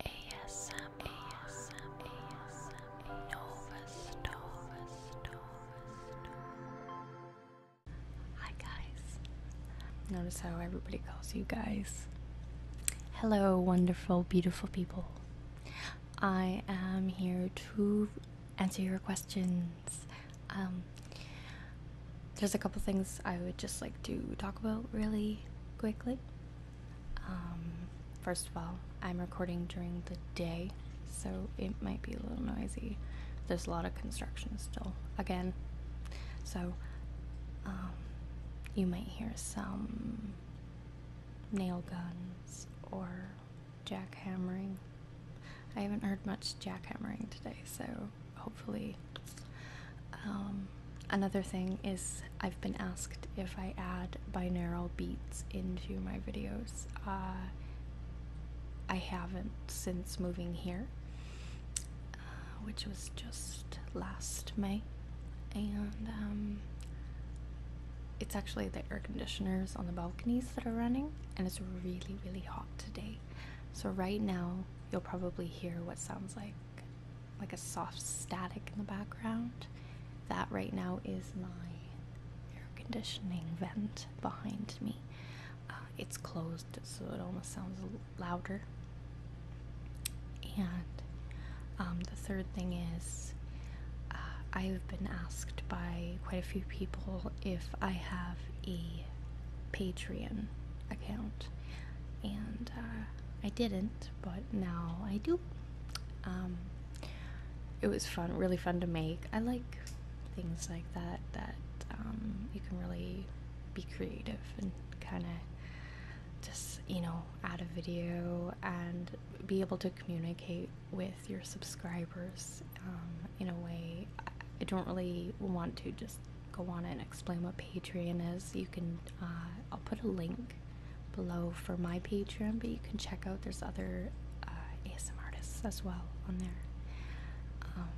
ASM, ASM, ASM, Nova Nova Hi guys. Notice how everybody calls you guys. Hello, wonderful, beautiful people. I am here to answer your questions. Um, there's a couple things I would just like to talk about really quickly. Um, first of all, I'm recording during the day, so it might be a little noisy. There's a lot of construction still, again. So, um, you might hear some nail guns or jackhammering. I haven't heard much jackhammering today, so hopefully um, another thing is I've been asked if I add binaural beats into my videos. Uh, I haven't since moving here, uh, which was just last May, and um, it's actually the air conditioners on the balconies that are running, and it's really, really hot today. So, right now, you'll probably hear what sounds like like a soft static in the background. That right now is my air conditioning vent behind me. Uh, it's closed, so it almost sounds louder. And um, the third thing is, uh, I've been asked by quite a few people if I have a Patreon account, and uh, I didn't but now I do. Um, it was fun, really fun to make. I like things like that, that um, you can really be creative and kind of just, you know, add a video and be able to communicate with your subscribers um, in a way. I don't really want to just go on and explain what Patreon is. You can, uh, I'll put a link below for my Patreon, but you can check out there's other uh, ASM artists as well on there. Um,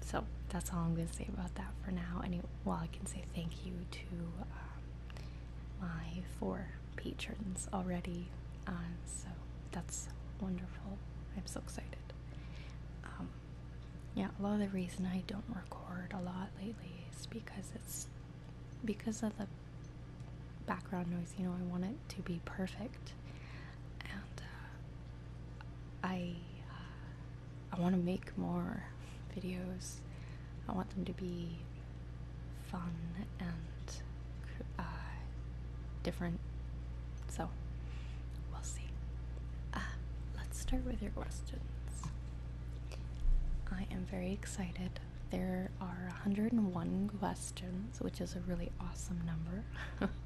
so that's all I'm going to say about that for now. And while I can say thank you to um, my four patrons already. Uh, so that's wonderful. I'm so excited. Um, yeah, a lot of the reason I don't record a lot lately because it's because of the background noise. You know, I want it to be perfect, and uh, I uh, I want to make more videos. I want them to be fun and uh, different. So we'll see. Uh, let's start with your questions. I am very excited. There are 101 questions, which is a really awesome number.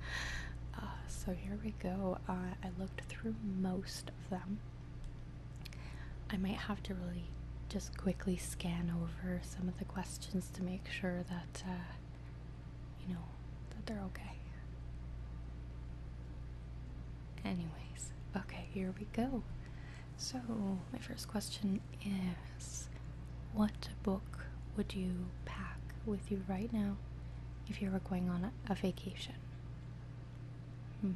Uh, so here we go. Uh, I looked through most of them. I might have to really just quickly scan over some of the questions to make sure that, uh, you know, that they're okay. Anyways, okay, here we go. So, my first question is What book would you pack with you right now if you were going on a, vacation? Hmm.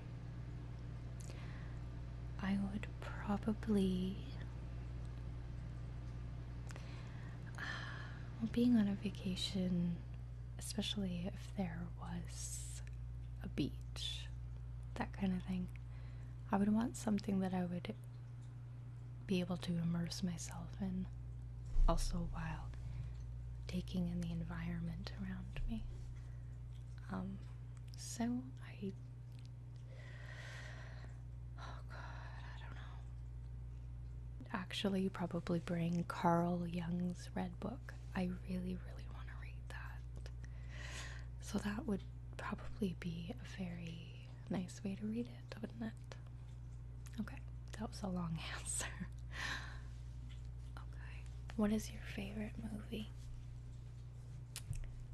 I would probably. Uh, being on a vacation especially if there was a beach, that kind of thing. I would want something that I would be able to immerse myself in, also while taking in the environment around me. Um, so I. Oh god, I don't know. Actually, probably bring Carl Jung's Red Book I really, really want to read that. So that would probably be a very nice way to read it, wouldn't it? Okay, that was a long answer. okay, what is your favorite movie?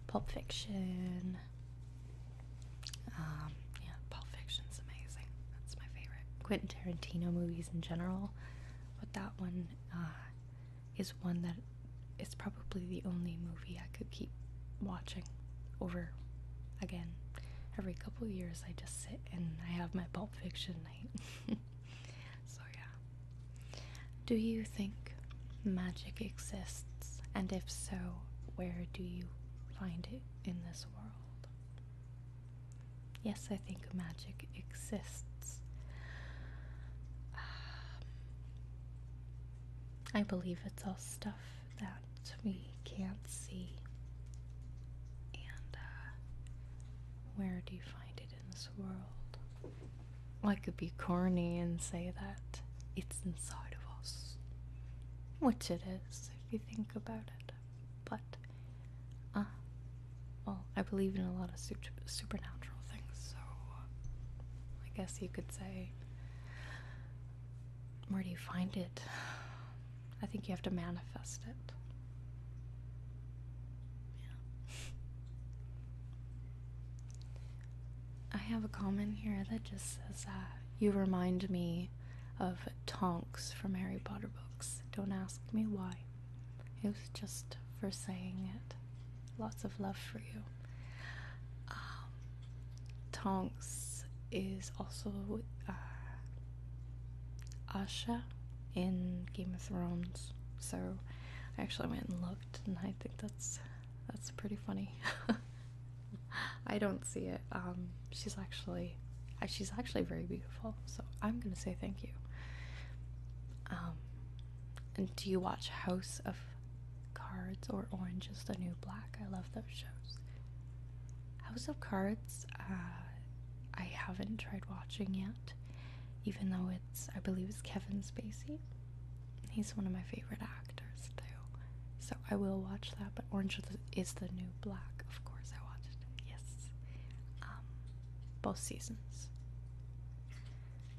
Pulp Fiction. Um, yeah, Pulp Fiction's amazing. That's my favorite. Quentin Tarantino movies in general, but that one uh, is one that it's probably the only movie I could keep watching over again. Every couple years, I just sit and I have my Pulp Fiction night. so, yeah. Do you think magic exists? And if so, where do you find it in this world? Yes, I think magic exists. Um, I believe it's all stuff that we can't see. And uh, where do you find it in this world? Well, I could be corny and say that it's inside of us, which it is if you think about it. But Ah, well, I believe in a lot of supernatural things, so I guess you could say, where do you find it? I think you have to manifest it. Yeah. I have a comment here that just says, uh, you remind me of Tonks from Harry Potter books. Don't ask me why. It was just for saying it. Lots of love for you. Um, Tongs is also uh, Asha in Game of Thrones, so I actually went and looked, and I think that's that's pretty funny. I don't see it. Um, she's actually uh, she's actually very beautiful, so I'm gonna say thank you. Um, and do you watch House of Cards or Orange is the New Black? I love those shows. House of Cards, uh, I haven't tried watching yet, even though it's, I believe it's Kevin Spacey. He's one of my favorite actors, too. So I will watch that, but Orange is the New Black, of course, I watched it. Yes. Um, both seasons.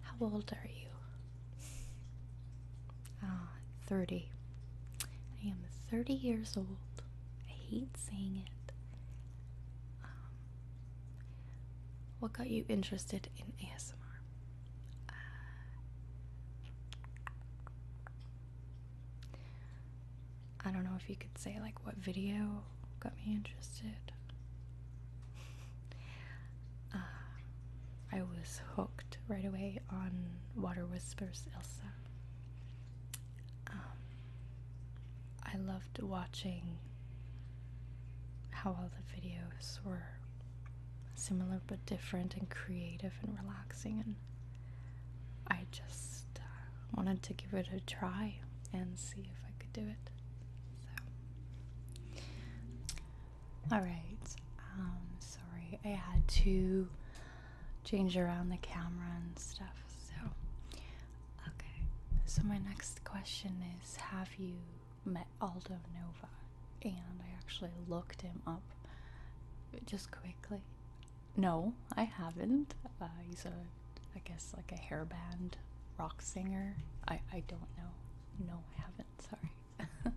How old are you? Ah, 30. I am 30 years old. I hate saying it. Um, what got you interested in ASMR? I don't know if you could say like what video got me interested. Uh, I was hooked right away on Water Whispers Elsa. Um, I loved watching how all the videos were similar but different and creative and relaxing, and I just uh, wanted to give it a try and see if I could do it. So, all right. Um, sorry, I had to change around the camera and stuff. So, okay. So my next question is: Have you met Aldo Nova? And I actually looked him up just quickly. No, I haven't. Uh, he's a I guess like a hairband rock singer. I I don't know. No, I haven't. Sorry.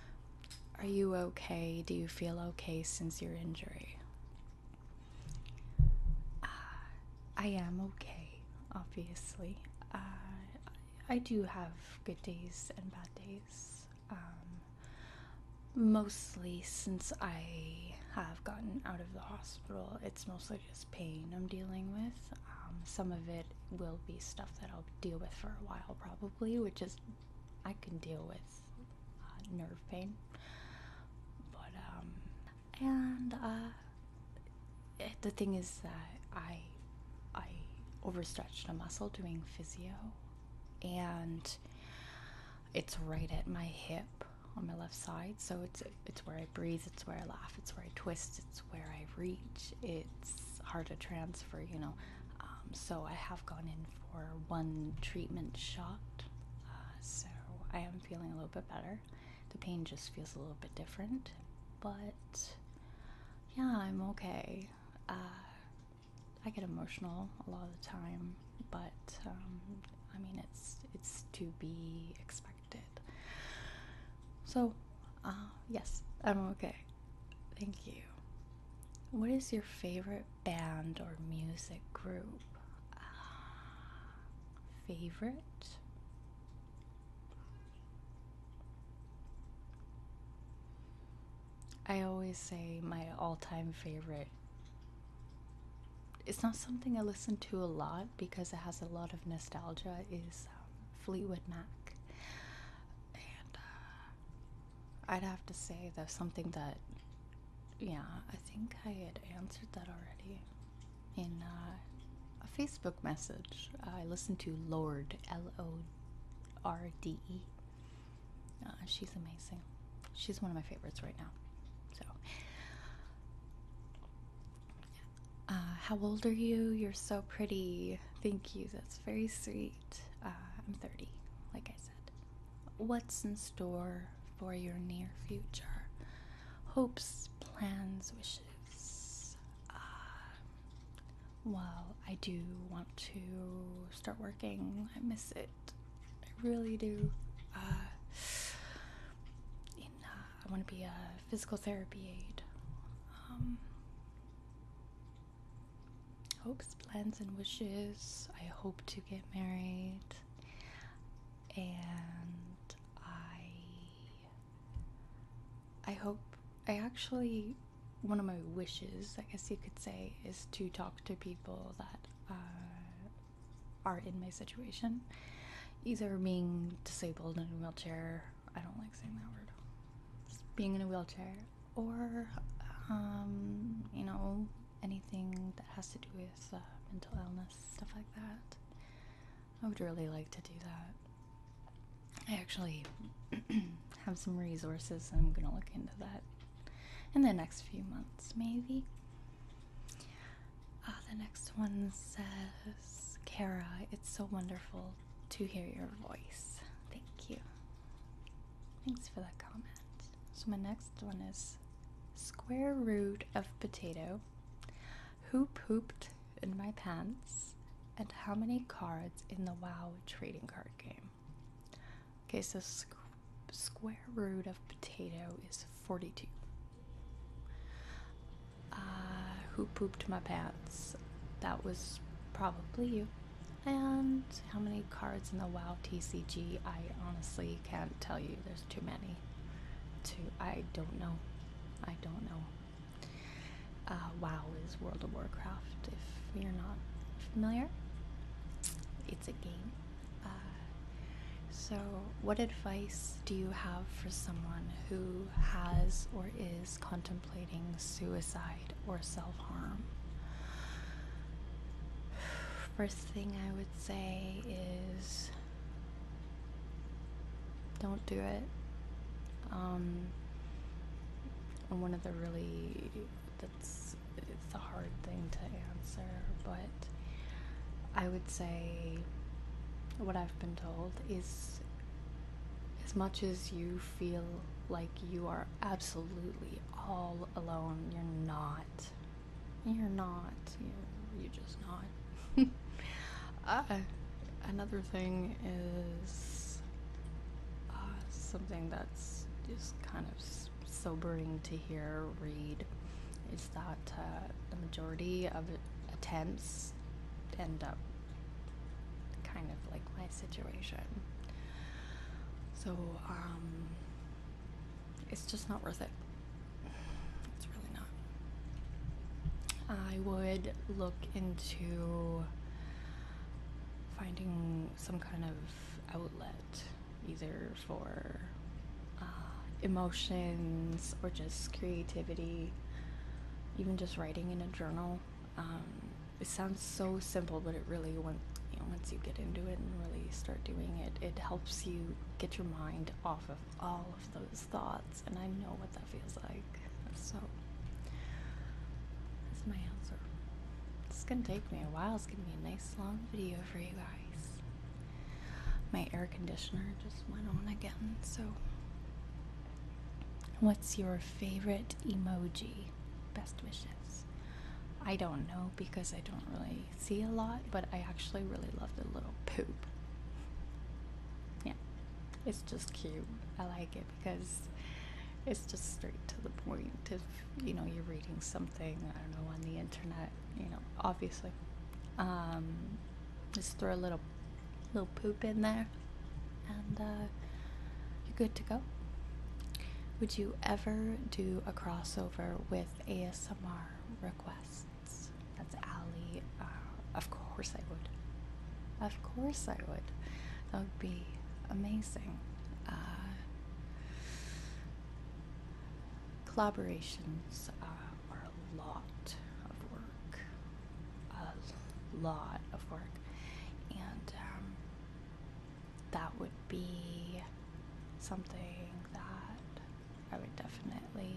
Are you okay? Do you feel okay since your injury? Uh, I am okay, obviously. Uh, I do have good days and bad days. Um, mostly since I have gotten out of the hospital, it's mostly just pain I'm dealing with. Um, some of it will be stuff that I'll deal with for a while, probably, which is I can deal with uh, nerve pain. But, um, and, uh, the thing is that I, I overstretched a muscle doing physio, and it's right at my hip, on my left side. So it's it's where I breathe, it's where I laugh, it's where I twist, it's where I reach. It's hard to transfer, you know. Um, so I have gone in for one treatment shot. Uh, so I am feeling a little bit better. The pain just feels a little bit different, but yeah, I'm okay. Uh, I get emotional a lot of the time, but um, I mean it's it's to be expected distracted. So, uh, yes, I'm okay. Thank you. What is your favorite band or music group? favorite? I always say my all time favorite it's not something I listen to a lot because it has a lot of nostalgia is um, Fleetwood Mac. And uh, I'd have to say that's something that yeah, I think I had answered that already in uh, a Facebook message. I listen to Lord L O R D E. Uh, she's amazing. She's one of my favorites right now. So uh, how old are you? You're so pretty. Thank you. That's very sweet. Uh, I'm 30, like I said. What's in store for your near future? Hopes, plans, wishes. Uh, well, I do want to start working. I miss it. I really do. in I want to be a physical therapy aide. Um, hopes, plans, and wishes. I hope to get married. And I. I hope. I actually. One of my wishes, I guess you could say, is to talk to people that uh, are in my situation. Either being disabled in a wheelchair, I don't like saying that word, being in a wheelchair, or, um, you know, anything that has to do with uh, mental illness, stuff like that. I would really like to do that. I actually have some resources I'm gonna look into that in the next few months, maybe. Ah, the next one says, Kara, it's so wonderful to hear your voice. Thank you. Thanks for that comment. So, my next one is square root of potato. Who pooped in my pants? And how many cards in the WoW trading card game? Okay, so square root of potato is 42. Uh, who pooped my pants? That was probably you. And how many cards in the WoW TCG? I honestly can't tell you. There's too many. To I don't know. I don't know. Uh, WoW is World of Warcraft. If you're not familiar, it's a game. Uh, so, what advice do you have for someone who has or is contemplating suicide or self harm? First thing I would say is don't do it. Um, one of the really, that's it's a hard thing to answer, but I would say what I've been told is as much as you feel like you are absolutely all alone, you're not. You're not. You're, just not. Uh, another thing is uh, something that's just kind of sobering to hear, read, that uh, the majority of attempts end up kind of like my situation. So, um, it's just not worth it. It's really not. I would look into finding some kind of outlet, either for uh, emotions or just creativity, even just writing in a journal. Um, it sounds so simple, but it really once you get into it and really start doing it, it helps you get your mind off of all of those thoughts. And I know what that feels like. So that's my answer. It's gonna take me a while. It's gonna be a nice long video for you guys. My air conditioner just went on again, so. What's your favorite emoji? Best wishes. I don't know because I don't really see a lot, but I actually really love the little poop. Yeah, it's just cute. I like it because it's just straight to the point. If you know you're reading something, I don't know on the internet, you know, obviously, um, just throw a little, little poop in there, and uh, you're good to go. Would you ever do a crossover with ASMR requests? That's Ali. Uh, of course I would. Of course I would. That would be amazing. Uh, collaborations uh, are a lot of work, a lot of work, and um, that would be something that I would definitely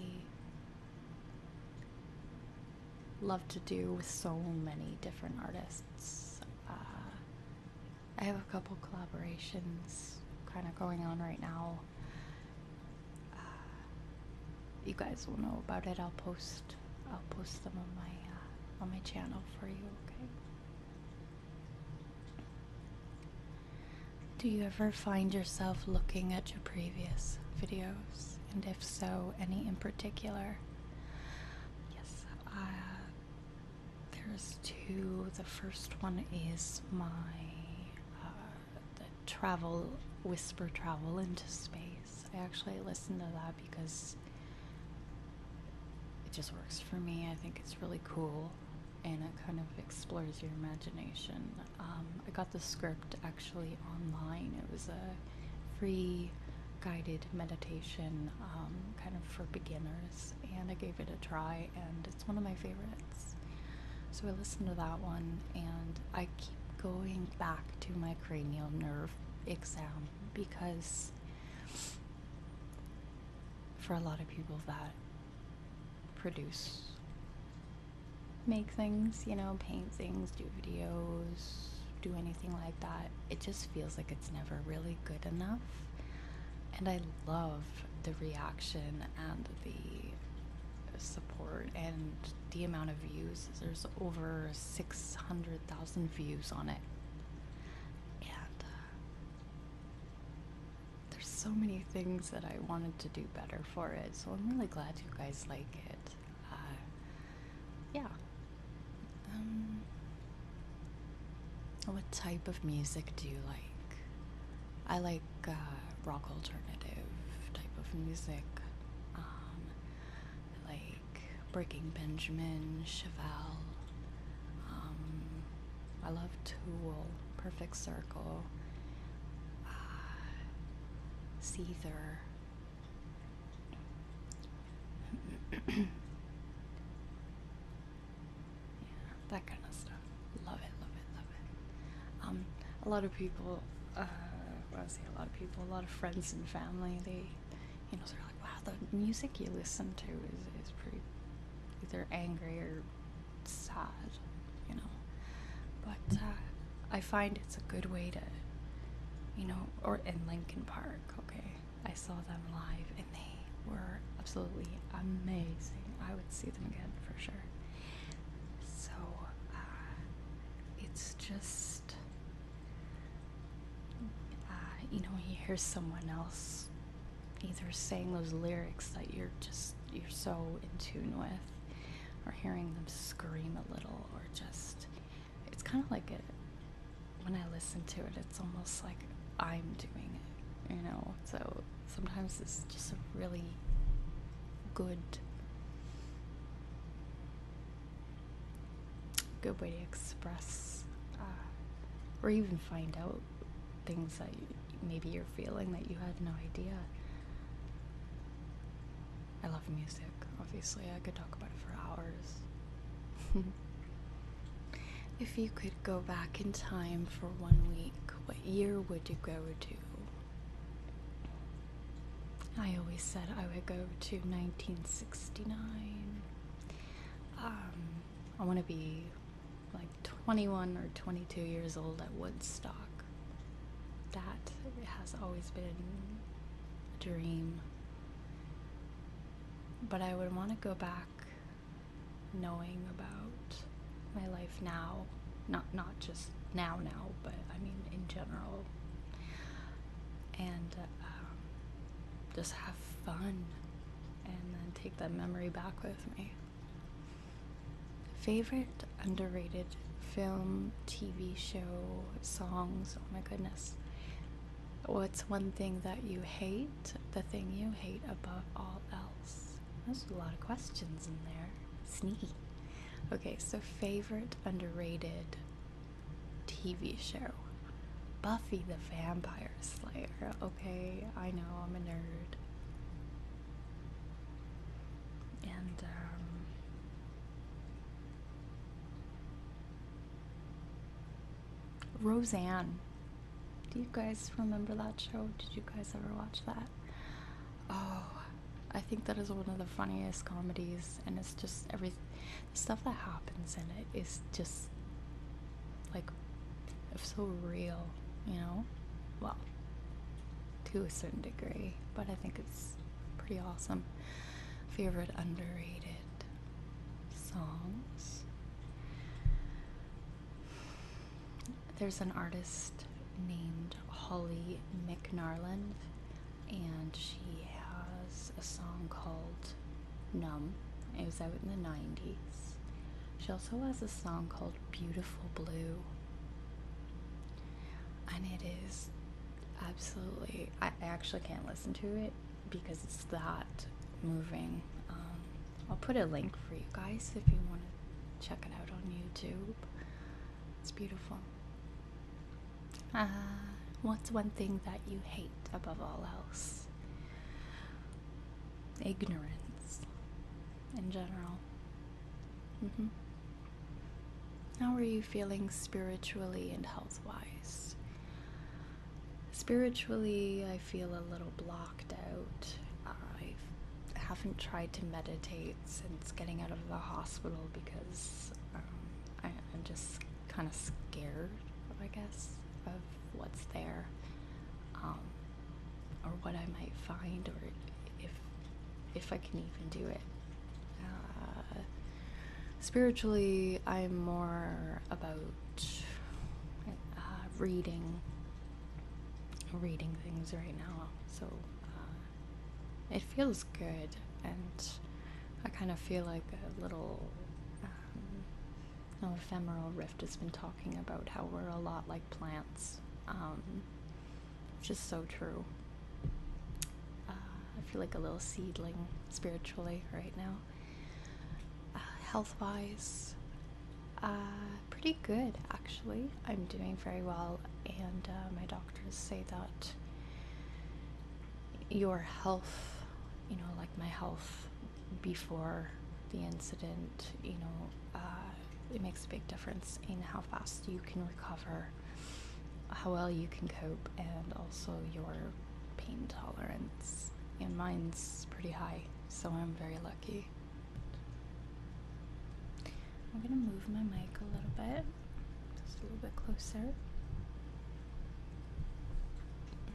love to do with so many different artists. Uh, I have a couple collaborations kind of going on right now uh, you guys will know about it. I'll post I'll post them on my uh, on my channel for you. Okay. Do you ever find yourself looking at your previous videos? And if so, any in particular? Yes, uh, there's two. The first one is my uh, travel, whisper travel into space. I actually listen to that because it just works for me. I think it's really cool and it kind of explores your imagination. Um, I got the script actually online. It was a free guided meditation, um, kind of for beginners, and I gave it a try and it's one of my favorites. So I listen to that one, and I keep going back to my cranial nerve exam because for a lot of people that produce make things, you know, paint things, do videos, do anything like that. It just feels like it's never really good enough. And I love the reaction and the support and the amount of views. There's over 600,000 views on it. And uh, there's so many things that I wanted to do better for it. So I'm really glad you guys like it. Uh, yeah. Um, what type of music do you like? I like uh, rock alternative type of music, um, like Breaking Benjamin, Chevelle. Um, I love Tool, Perfect Circle, uh, Seether. yeah, that kind of stuff. Love it, love it, love it. Um, a lot of people, uh, well, I say a lot of people, a lot of friends and family, they, you know, they're like, wow, the music you listen to is, is pretty, either angry or sad, you know. But uh, I find it's a good way to, you know, or in Lincoln Park, okay. I saw them live and they were absolutely amazing. I would see them again for sure. So uh, it's just, uh, you know, you hear someone else either saying those lyrics that you're just, you're so in tune with, or hearing them scream a little, or just, it's kind of like a, when I listen to it, it's almost like I'm doing it, you know? So sometimes it's just a really good good way to express uh, or even find out things that maybe you're feeling that you had no idea i love music obviously i could talk about it for hours if you could go back in time for one week what year would you go to I always said I would go to 1969. Um, I want to be like 21 or 22 years old at Woodstock. That has always been a dream. But I would want to go back knowing about my life now, not not just now now, but I mean in general, and uh, um, just have fun, and then take that memory back with me. Favorite underrated film, TV show, songs. Oh my goodness. What's one thing that you hate? The thing you hate above all else. There's a lot of questions in there. Sneaky. Okay, so favorite underrated TV show Buffy the Vampire Slayer. Okay, I know I'm a nerd. And, um, Roseanne. Do you guys remember that show? Did you guys ever watch that? Oh, I think that is one of the funniest comedies, and it's just every stuff that happens in it is just like it's so real, you know? Well, to a certain degree, but I think it's pretty awesome. Favorite underrated songs? there's an artist named Holly McNarland, and she has a song called Numb. It was out in the 90s. She also has a song called Beautiful Blue, and it is absolutely, I actually can't listen to it because it's that moving. Um, I'll put a link for you guys if you want to check it out on YouTube. It's beautiful. Uh, what's one thing that you hate above all else? Ignorance in general. Mm -hmm. How are you feeling spiritually and health wise? Spiritually, I feel a little blocked out. I've haven't tried to meditate since getting out of the hospital because um, I, am just kind of scared, I guess, of what's there um, or what I might find or if if I can even do it. Uh, spiritually, I'm more about uh, reading reading things right now, so uh, it feels good, and I kind of feel like a little um, ephemeral rift has been talking about how we're a lot like plants, um, which is so true. Uh, I feel like a little seedling spiritually right now. Uh, health wise, pretty good actually. I'm doing very well, and uh, my doctors say that your health, you know, like my health before the incident, you know, uh, it makes a big difference in how fast you can recover, how well you can cope, and also your pain tolerance. And mine's pretty high, so I'm very lucky. I'm going to move my mic a little bit, just a little bit closer,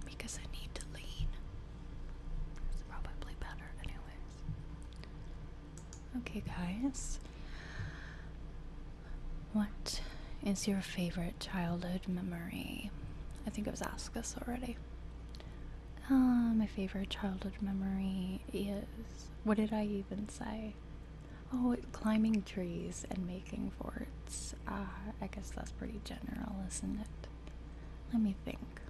because I need to lean. It's probably better, anyways. Okay, guys, what is your favorite childhood memory? I think I was asked this already. Uh, my favorite childhood memory is. What did I even say? Oh, climbing trees and making forts. Ah, I guess that's pretty general, isn't it? Let me think.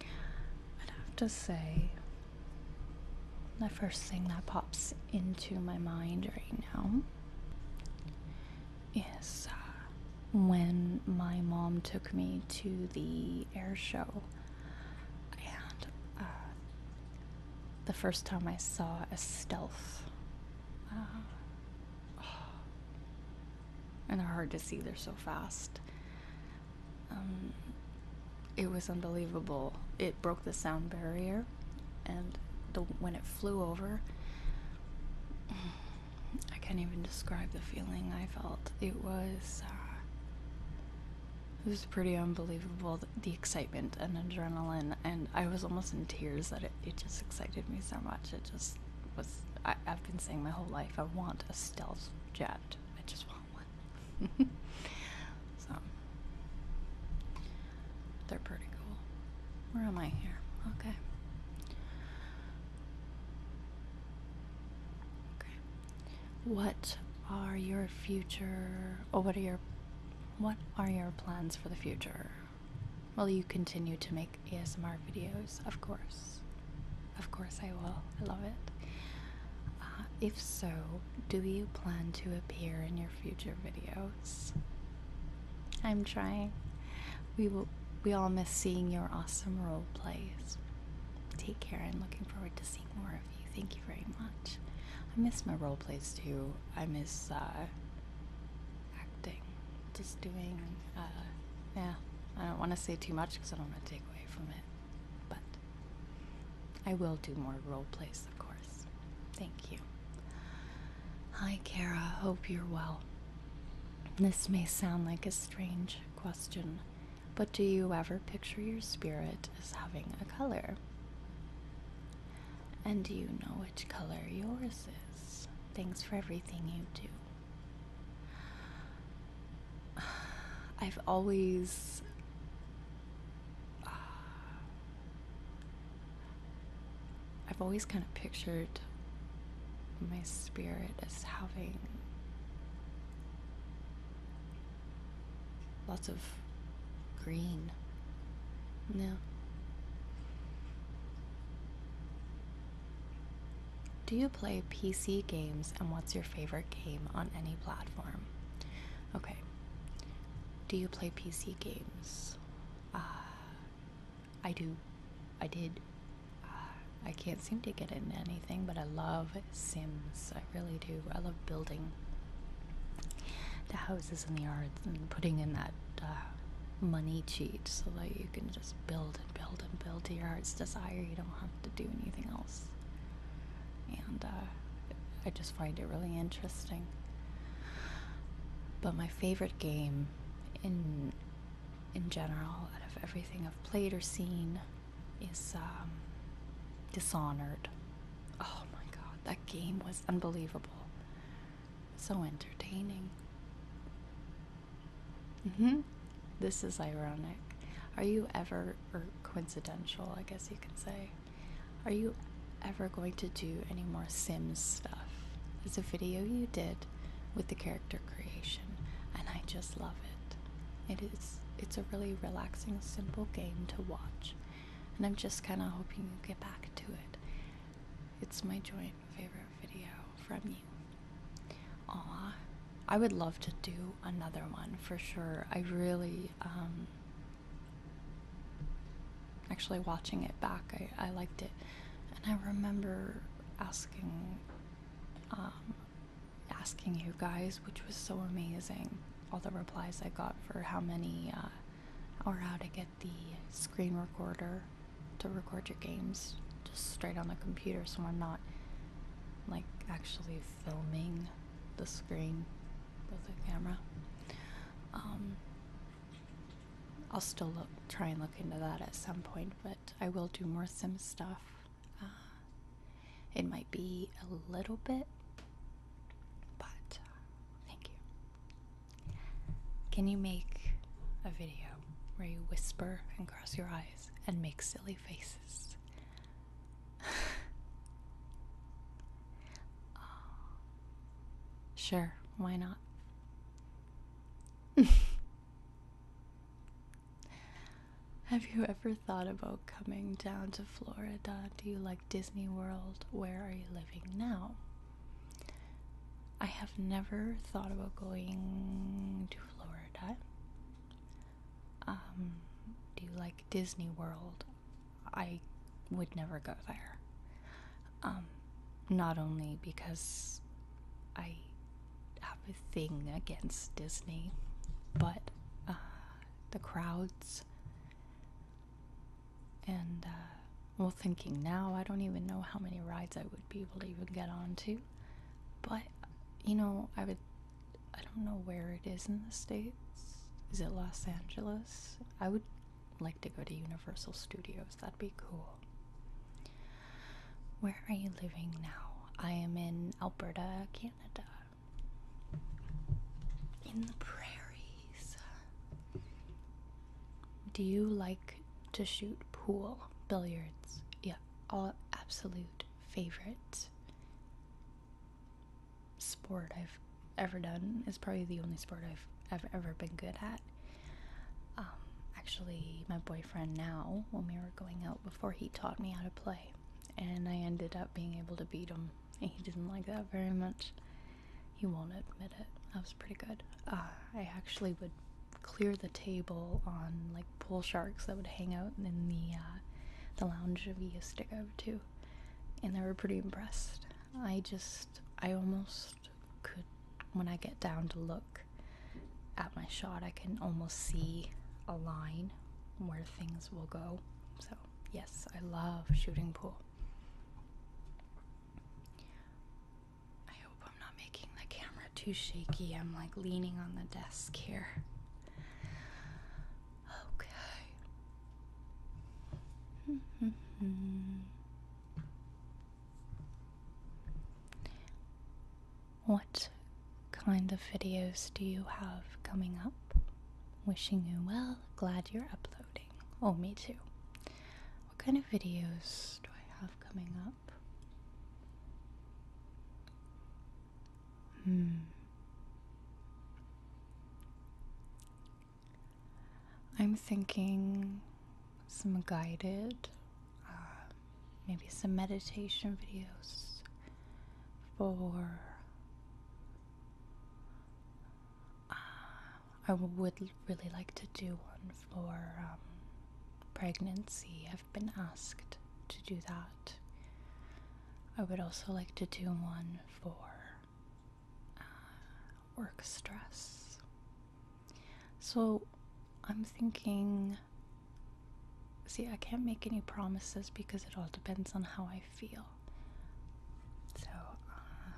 I'd have to say. The first thing that pops into my mind right now is uh, when my mom took me to the air show and uh, the first time I saw a stealth, uh, and they're hard to see, they're so fast. Um, it was unbelievable. It broke the sound barrier, and when it flew over, I can't even describe the feeling I felt. It was uh, it was pretty unbelievable the excitement and adrenaline, and I was almost in tears that it, just excited me so much. It just was, I, I've been saying my whole life, I want a stealth jet. I just want one. so, they're pretty cool. Where am I here? Okay. Okay what are your future or what are your what are your plans for the future? Will you continue to make ASMR videos? Of course. Of course I will. I love it. Uh, if so, do you plan to appear in your future videos? I'm trying. We will we all miss seeing your awesome role plays. Take care. and looking forward to seeing more of you. Thank you very much. I miss my role plays too. I miss uh, acting, just doing. Uh, yeah, I don't want to say too much because I don't want to take away from it. But I will do more role plays, of course. Thank you. Hi, Kara. Hope you're well. This may sound like a strange question, but do you ever picture your spirit as having a color? And do you know which color yours is? Thanks for everything you do. I've always. Uh, I've always kind of pictured my spirit as having Lots of green. Yeah. Do you play PC games and what's your favorite game on any platform? Okay. Do you play PC games? Ah, I do. I did. Uh, I can't seem to get into anything, but I love Sims. I really do. I love building the houses and the yards and putting in that uh, money cheat so that you can just build and build and build to your heart's desire. You don't have to do anything else. And uh, I just find it really interesting. But my favorite game in in general out of everything I've played or seen is um, Dishonored. Oh my god, that game was unbelievable. So entertaining. Mm hmm. This is ironic. Are you ever, or coincidental, I guess you could say, are you ever going to do any more Sims stuff? There's a video you did with the character creation, and I just love it. It is it's a really relaxing, simple game to watch. And I'm just kinda hoping you get back to it. It's my joint favorite video from you. Aw. I would love to do another one for sure. I really um, actually watching it back I, I liked it and I remember asking um, asking you guys, which was so amazing. All the replies I got for how many uh, or how to get the screen recorder to record your games just straight on the computer so I'm not like actually filming the screen with a camera. Um, I'll still look, try and look into that at some point, but I will do more Sim stuff. Uh, it might be a little bit, but uh, thank you. Can you make a video where you whisper and cross your eyes and make silly faces? Uh, sure, why not? Have you ever thought about coming down to Florida? Do you like Disney World? Where are you living now? I have never thought about going to Florida. Um, do you like Disney World? I would never go there. Um, not only because I have a thing against Disney, but uh, the crowds and uh, well, thinking now, I don't even know how many rides I would be able to even get onto, but you know, I would. I don't know where it is in the states. Is it Los Angeles? I would like to go to Universal Studios. That'd be cool. Where are you living now? I am in Alberta, Canada. In the prairies. Do you like to shoot pool, billiards? Yeah, all absolute favorite sport I've ever done. It's probably the only sport I've, ever been good at. Um, actually, my boyfriend now, when we were going out before he taught me how to play, and I ended up being able to beat him. And he didn't like that very much. He won't admit it. I was pretty good. Uh, I actually would clear the table on like pool sharks that would hang out in the uh, the lounge of used to go to, and they were pretty impressed. I just I almost could when I get down to look at my shot, I can almost see a line where things will go. So, yes, I love shooting pool. I hope I'm not making the camera too shaky. I'm like leaning on the desk here. Okay. What kind of videos do you have coming up? Wishing you well, glad you're uploading. Oh, me too. What kind of videos do I have coming up? Hmm. I'm thinking some guided uh, maybe some meditation videos for. Uh, I would really like to do one for um, pregnancy. I've been asked to do that. I would also like to do one for uh, work stress. So I'm thinking See, I can't make any promises because it all depends on how I feel. So, uh,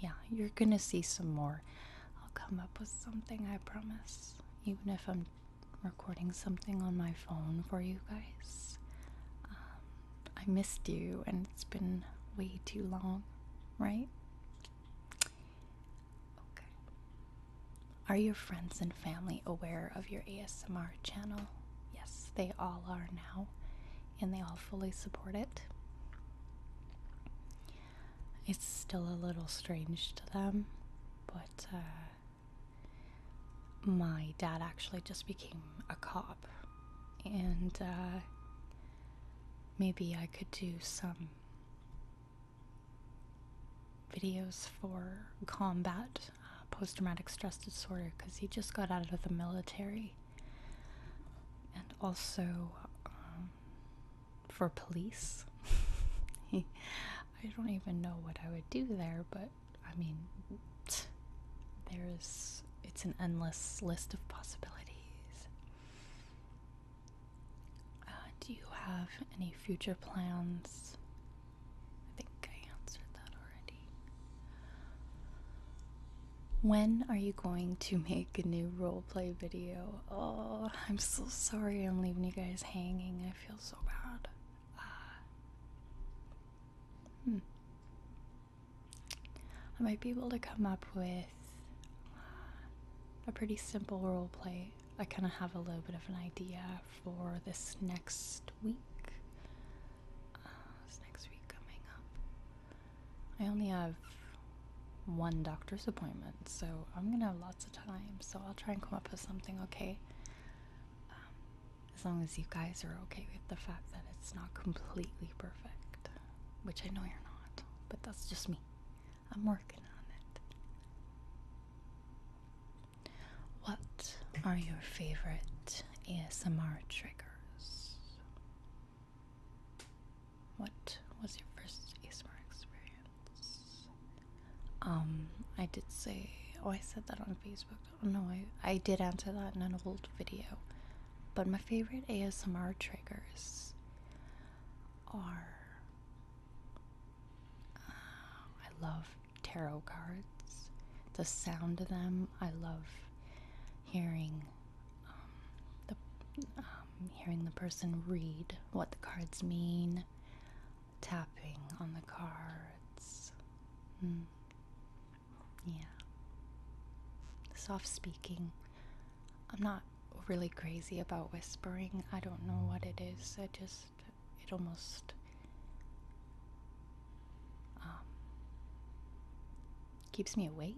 yeah, you're gonna see some more. I'll come up with something, I promise. Even if I'm recording something on my phone for you guys. Um, I missed you, and it's been way too long, right? Okay. Are your friends and family aware of your ASMR channel? Yes, they all are now, and they all fully support it. It's still a little strange to them, but uh, my dad actually just became a cop, and uh, maybe I could do some videos for combat uh, post traumatic stress disorder because he just got out of the military and also um, for police. I don't even know what I would do there, but I mean, there is, it's an endless list of possibilities. Uh, do you have any future plans? I think I answered that already. When are you going to make a new roleplay video? Oh, I'm so sorry I'm leaving you guys hanging. I feel so bad. Uh, hmm. I might be able to come up with uh, a pretty simple roleplay I kind of have a little bit of an idea for this next week. Uh, this next week coming up. I only have one doctor's appointment, so I'm gonna have lots of time. So I'll try and come up with something okay. Um, as long as you guys are okay with the fact that it's not completely perfect, which I know you're not, but that's just me. I'm working on it. What are your favorite ASMR triggers? What was your first ASMR experience? Um, I did say, oh, I said that on Facebook. Oh, no, I, I did answer that in an old video. But my favorite ASMR triggers are um, I love tarot cards. The sound of them. I love hearing um, the um, hearing the person read what the cards mean, tapping on the cards. Hmm. Yeah. Soft speaking. I'm not really crazy about whispering. I don't know what it is. I just it almost um, keeps me awake.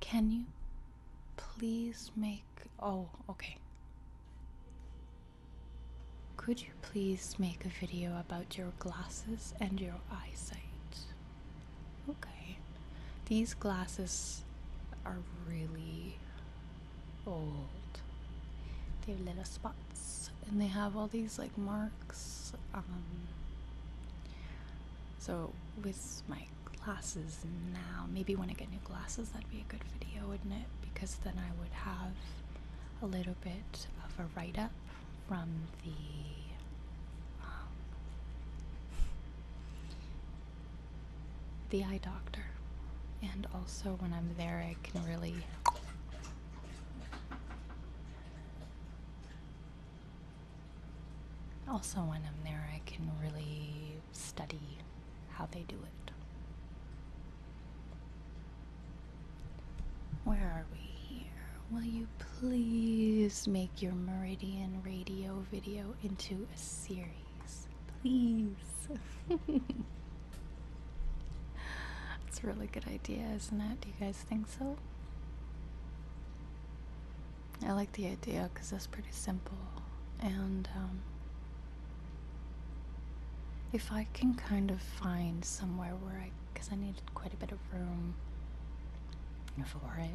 Can you please make. Oh, okay. Could you please make a video about your glasses and your eyesight? Okay. These glasses are really old. They have little spots and they have all these like marks. Um, so, with my glasses now, maybe when I get new glasses, that'd be a good video, wouldn't it? Because then I would have a little bit of a write up from the um, the eye doctor, and also when I'm there, I can really. Also, when I'm there, I can really study how they do it. Where are we here? Will you please make your Meridian Radio video into a series. Please. That's a really good idea, isn't it? Do you guys think so? I like the idea because that's pretty simple. And um, if I can kind of find somewhere where I, because I need quite a bit of room for it.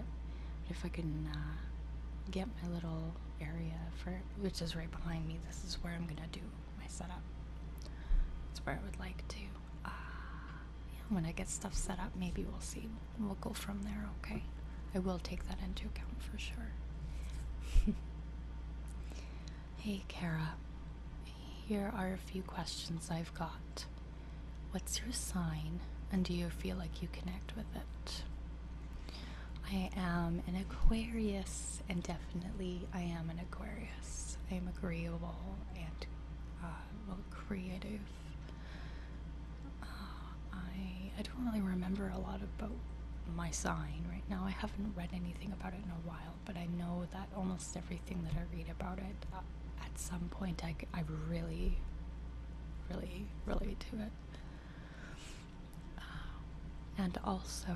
if I can uh, get my little area for which is right behind me, this is where I'm gonna do my setup. That's where I would like to. Uh, when I get stuff set up, maybe we'll see. We'll go from there, okay? I will take that into account for sure. hey, Kara. Here are a few questions I've got. What's your sign, and do you feel like you connect with it? I am an Aquarius, and definitely I am an Aquarius. I am agreeable and uh, creative. Uh, I I don't really remember a lot about my sign right now. I haven't read anything about it in a while, but I know that almost everything that I read about it, uh, at some point I, I really, really relate to it. Uh, and also,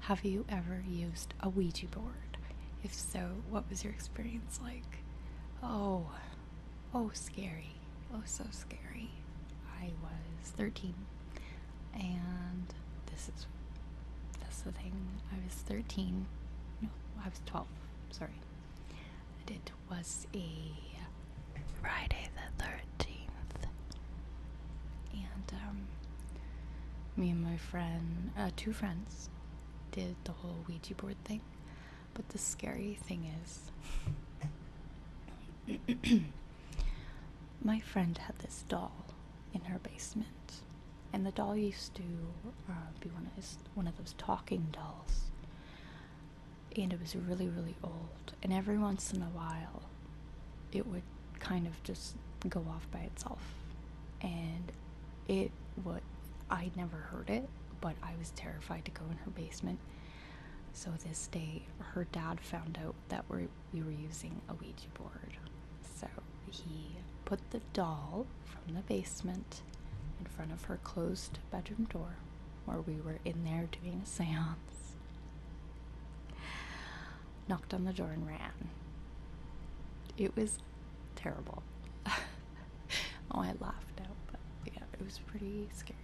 have you ever used a Ouija board? If so, what was your experience like? Oh, oh, scary. Oh, so scary. I was 13, and this is this is the thing. I was 13. No, I was 12. Sorry and it was a Friday the 13th. And um, me and my friend, uh, two friends, did the whole Ouija board thing. But the scary thing is, my friend had this doll in her basement. And the doll used to uh, be one of his one of those talking dolls. And it was really, really old. And every once in a while, it would kind of just go off by itself. And it would, I'd never heard it, but I was terrified to go in her basement. So this day, her dad found out that we were using a Ouija board. So he put the doll from the basement in front of her closed bedroom door where we were in there doing a seance. Knocked on the door and ran. It was terrible. oh, I laughed out, but yeah, it was pretty scary.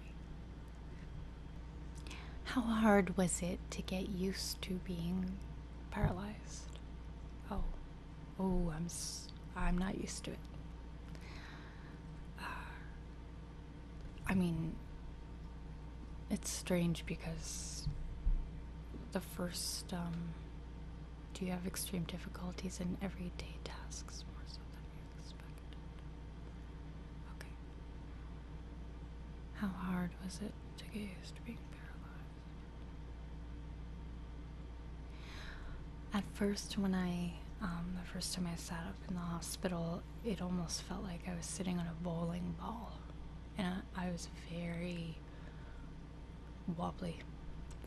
How hard was it to get used to being paralyzed? Oh, Oh, I'm s I'm not used to it. Uh, I mean, it's strange because the first um, do you have extreme difficulties in everyday tasks more so than you expected? Okay. How hard was it to get used to being paralyzed? At first, when I, um, the first time I sat up in the hospital, it almost felt like I was sitting on a bowling ball. And I, was very wobbly.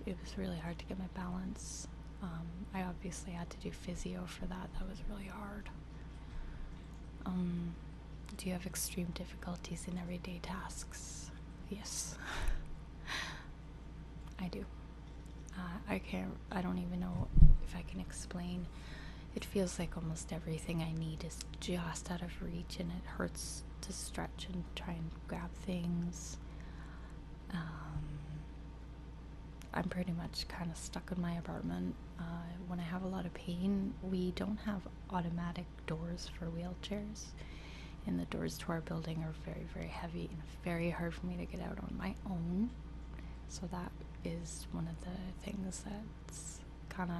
It was really hard to get my balance. Um, I obviously had to do physio for that. That was really hard. Um, do you have extreme difficulties in everyday tasks? Yes. I do. Uh, I can't. I don't even know if I can explain. It feels like almost everything I need is just out of reach, and it hurts to stretch and try and grab things. Um, I'm pretty much kind of stuck in my apartment. Uh, when I have a lot of pain, we don't have automatic doors for wheelchairs and the doors to our building are very, very heavy and very hard for me to get out on my own. So that is one of the things that's kind of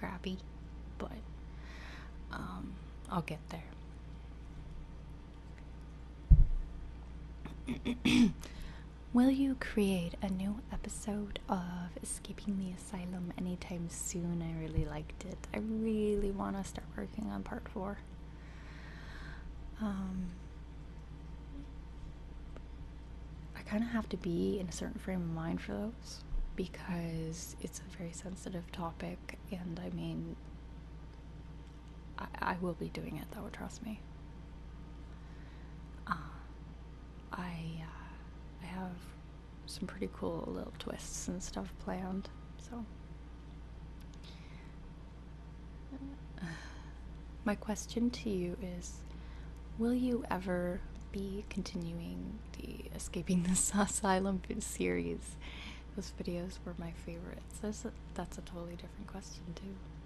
crappy, but um, I'll get there. Will you create a new episode of Escaping the Asylum anytime soon? I really liked it. I really want to start working on part four. Um, I kind of have to be in a certain frame of mind for those because it's a very sensitive topic, and I mean, I, will be doing it though, trust me. Uh, I, uh, I have some pretty cool little twists and stuff planned. So, my question to you is Will you ever be continuing the Escaping the Asylum series? Those videos were my favorites. That's a, totally different question, too.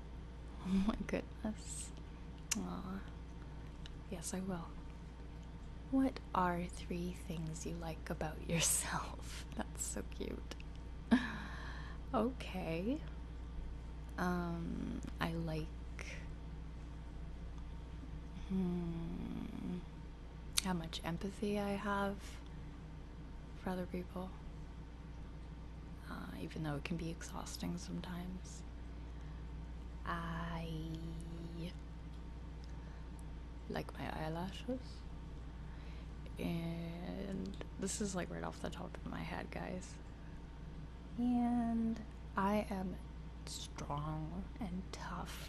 Oh my goodness. Aww. Yes, I will. What are three things you like about yourself? That's so cute. okay. Um, I like. Hmm, how much empathy I have for other people. Uh, even though it can be exhausting sometimes. I like my eyelashes. And this is like right off the top of my head, guys. And I am strong and tough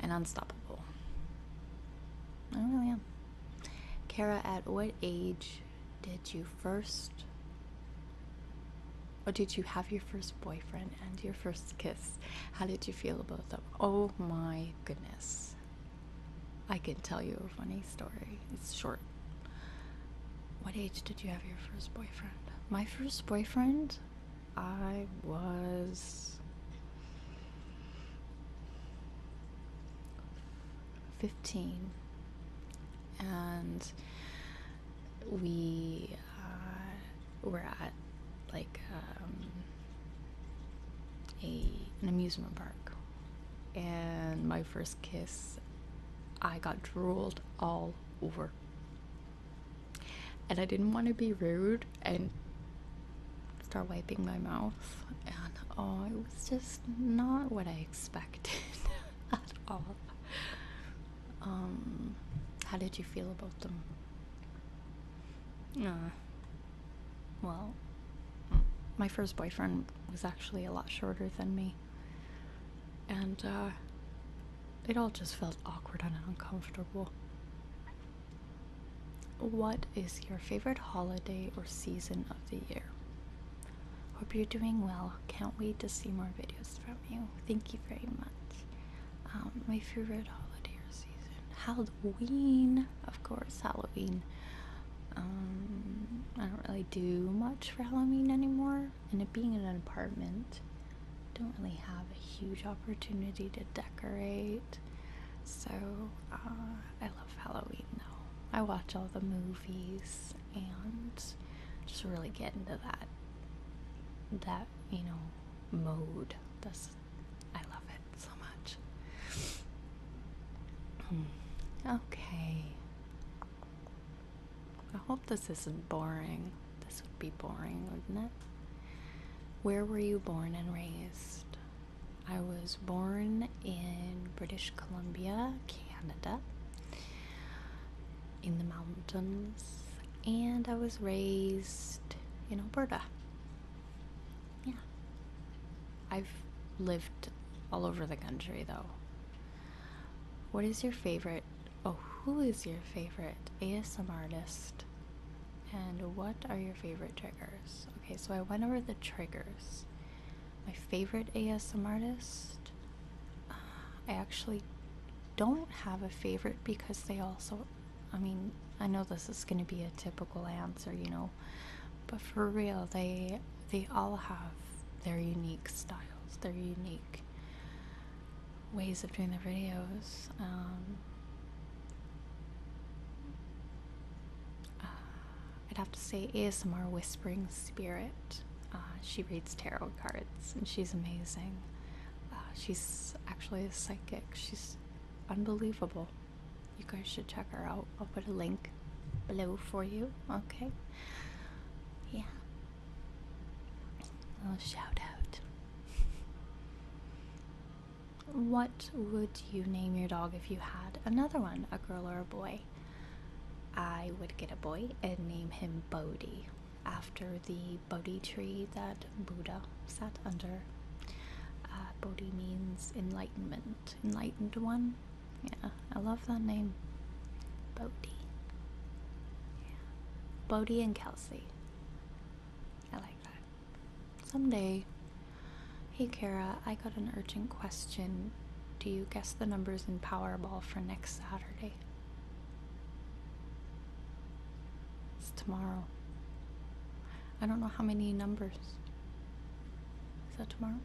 and unstoppable. I really am. Kara, at what age did you first, or did you have your first boyfriend? and your first kiss. How did you feel about them? Oh my goodness. I can tell you a funny story. It's short. What age did you have your first boyfriend? My first boyfriend, I was 15. And we uh, we're at like um, a an amusement park, and my first kiss, I got drooled all over, and I didn't want to be rude and start wiping my mouth, and oh, it was just not what I expected at all. Um, how did you feel about them? Uh, well, my first boyfriend was actually a lot shorter than me. And, uh, it all just felt awkward and uncomfortable. What is your favorite holiday or season of the year? Hope you're doing well. Can't wait to see more videos from you. Thank you very much. Um, my favorite holiday season. Halloween, of course, Halloween. Um, I don't really do much for Halloween anymore, and it being in an apartment, don't really have a huge opportunity to decorate. So uh, I love Halloween though. I watch all the movies and just really get into that that you know mode. That's I love it so much. Hmm. okay. I hope this isn't boring. This would be boring, wouldn't it? Where were you born and raised? I was born in British Columbia, Canada, in the mountains, and I was raised in Alberta. Yeah. I've lived all over the country though. What is your favorite? Oh, who is your favorite ASM artist? And what are your favorite triggers? Okay, so I went over the triggers. My favorite ASM artist? Uh, I actually don't have a favorite because they all also I mean, I know this is going to be a typical answer, you know, but for real, they they all have their unique styles, their unique ways of doing their videos. Um, uh, I'd have to say ASMR Whispering Spirit. Uh, she reads tarot cards and she's amazing. Uh, she's actually a psychic. She's unbelievable. You guys should check her out. I'll put a link below for you. Okay. Yeah. A little shout out. What would you name your dog if you had another one, a girl or a boy? I would get a boy and name him Bodie, after the Bodie tree that Buddha sat under. Uh, Bodhi means enlightenment, enlightened one. Yeah, I love that name. Bodhi. Yeah. Bodhi and Kelsey. I like that. Someday. Hey Kara, I got an urgent question. Do you guess the numbers in Powerball for next Saturday? It's tomorrow. I don't know how many numbers. Is that tomorrow?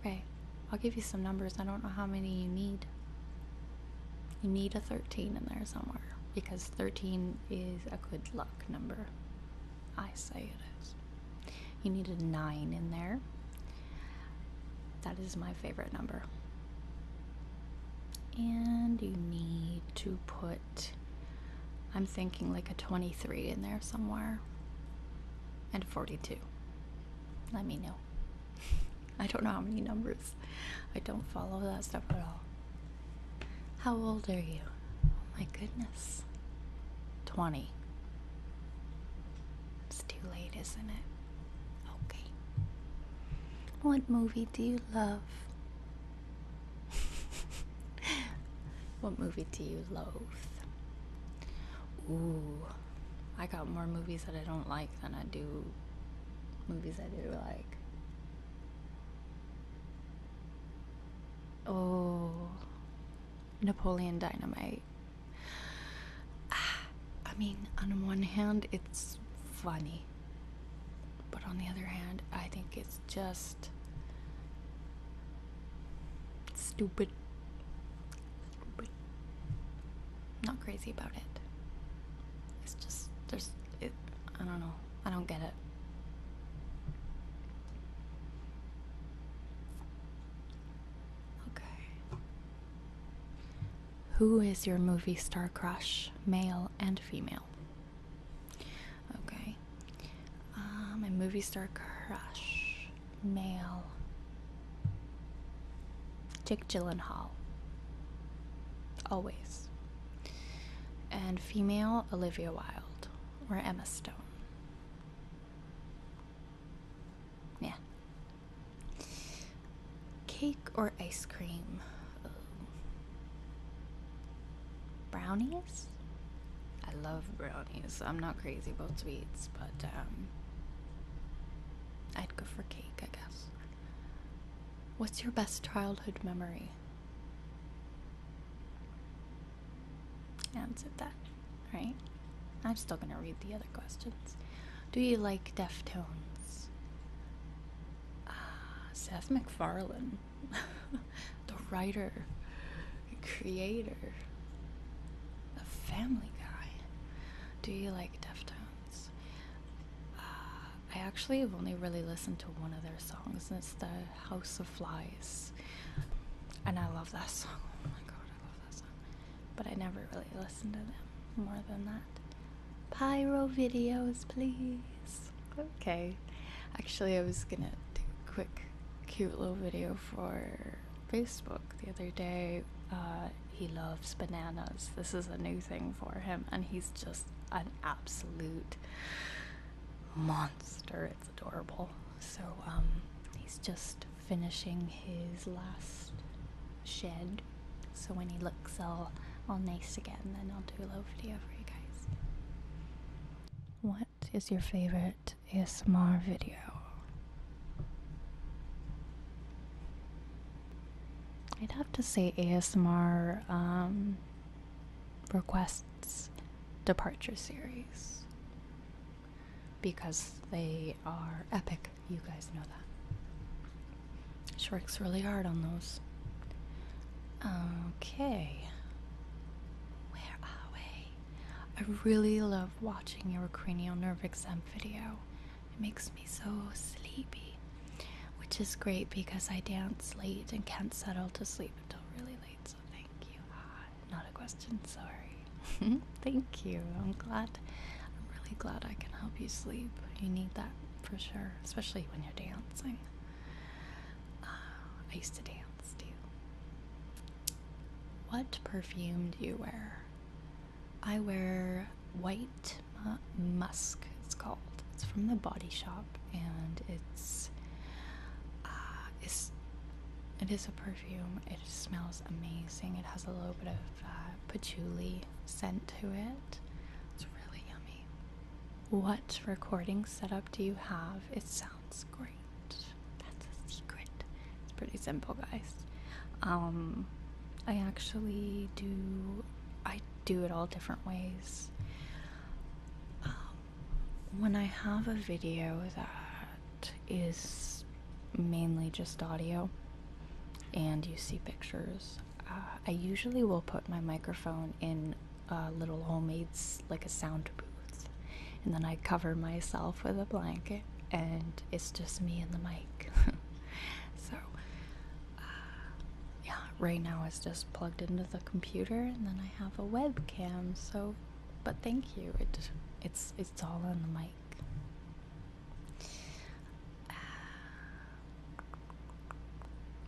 Okay, I'll give you some numbers. I don't know how many you need. You need a 13 in there somewhere because 13 is a good luck number. I say it is. You need a 9 in there. That is my favorite number and you need to put I'm thinking like a 23 in there somewhere and 42 let me know I don't know how many numbers I don't follow that stuff at all how old are you oh my goodness 20 it's too late isn't it okay what movie do you love what movie do you loathe? Ooh, I got more movies that I don't like than I do movies I do like. Oh, Napoleon Dynamite. I mean, on one hand, it's funny but on the other hand, I think it's just stupid. Not crazy about it. It's just there's I don't know. I don't get it. Okay. Who is your movie star crush, male and female? Okay. Uh, my movie star crush, male. Jake Gyllenhaal. Always. And female, Olivia Wilde or Emma Stone. Yeah. Cake or ice cream? Brownies? I love brownies. I'm not crazy about sweets, but um, I'd go for cake, I guess. What's your best childhood memory? Answered that, right? I'm still gonna read the other questions. Do you like Deftones? uh, Seth MacFarlane, the writer, creator, of family guy. Do you like Deftones? Ah, I actually have only really listened to one of their songs, and it's the House of Flies. And I love that song. Oh my god, I love that song. But I never really listened to them more than that. Pyro videos, please. Okay. Actually, I was gonna do a quick, cute little video for Facebook the other day. Uh, he loves bananas. This is a new thing for him, and he's just an absolute monster. It's adorable. So, um, he's just finishing his last shed so when he looks all all nice again, then I'll do a little video for you guys. What is your favorite ASMR video? I'd have to say ASMR um, requests departure series because they are epic. You guys know that. She works really hard on those. Okay. Where are we? I really love watching your cranial nerve exam video. It makes me so sleepy, which is great because I dance late and can't settle to sleep until really late. So thank you. Ah, not a question, sorry. thank you. I'm glad. I'm really glad I can help you sleep. You need that for sure, especially when you're dancing. Uh, I used to dance too. What perfume do you wear? I wear white musk, it's called. It's from the body shop and it's, uh, it's a perfume. It smells amazing. It has a little bit of uh, patchouli scent to it. It's really yummy. What recording setup do you have? It sounds great. That's a secret. It's pretty simple, guys. Um, I actually do. I do it all different ways. Um, when I have a video that is mainly just audio, and you see pictures, uh, I usually will put my microphone in a little homemade's like a sound booth, and then I cover myself with a blanket, and it's just me and the mic. so, uh, yeah, right now it's just plugged into the computer, and then I have a webcam. So, but thank you. it's it's all on the mic.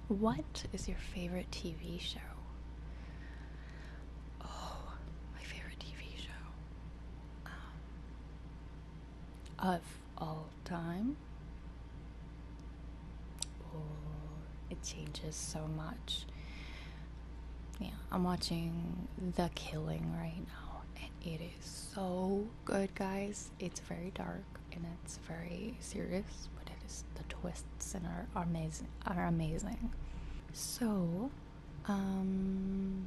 What is your favorite TV show? Oh, my favorite TV show. Um, of all time? Oh, it changes so much. Yeah, I'm watching The Killing right now, and it is so good, guys it's very dark and it's very serious, but it is the twists and are, are amazing are amazing. So, um,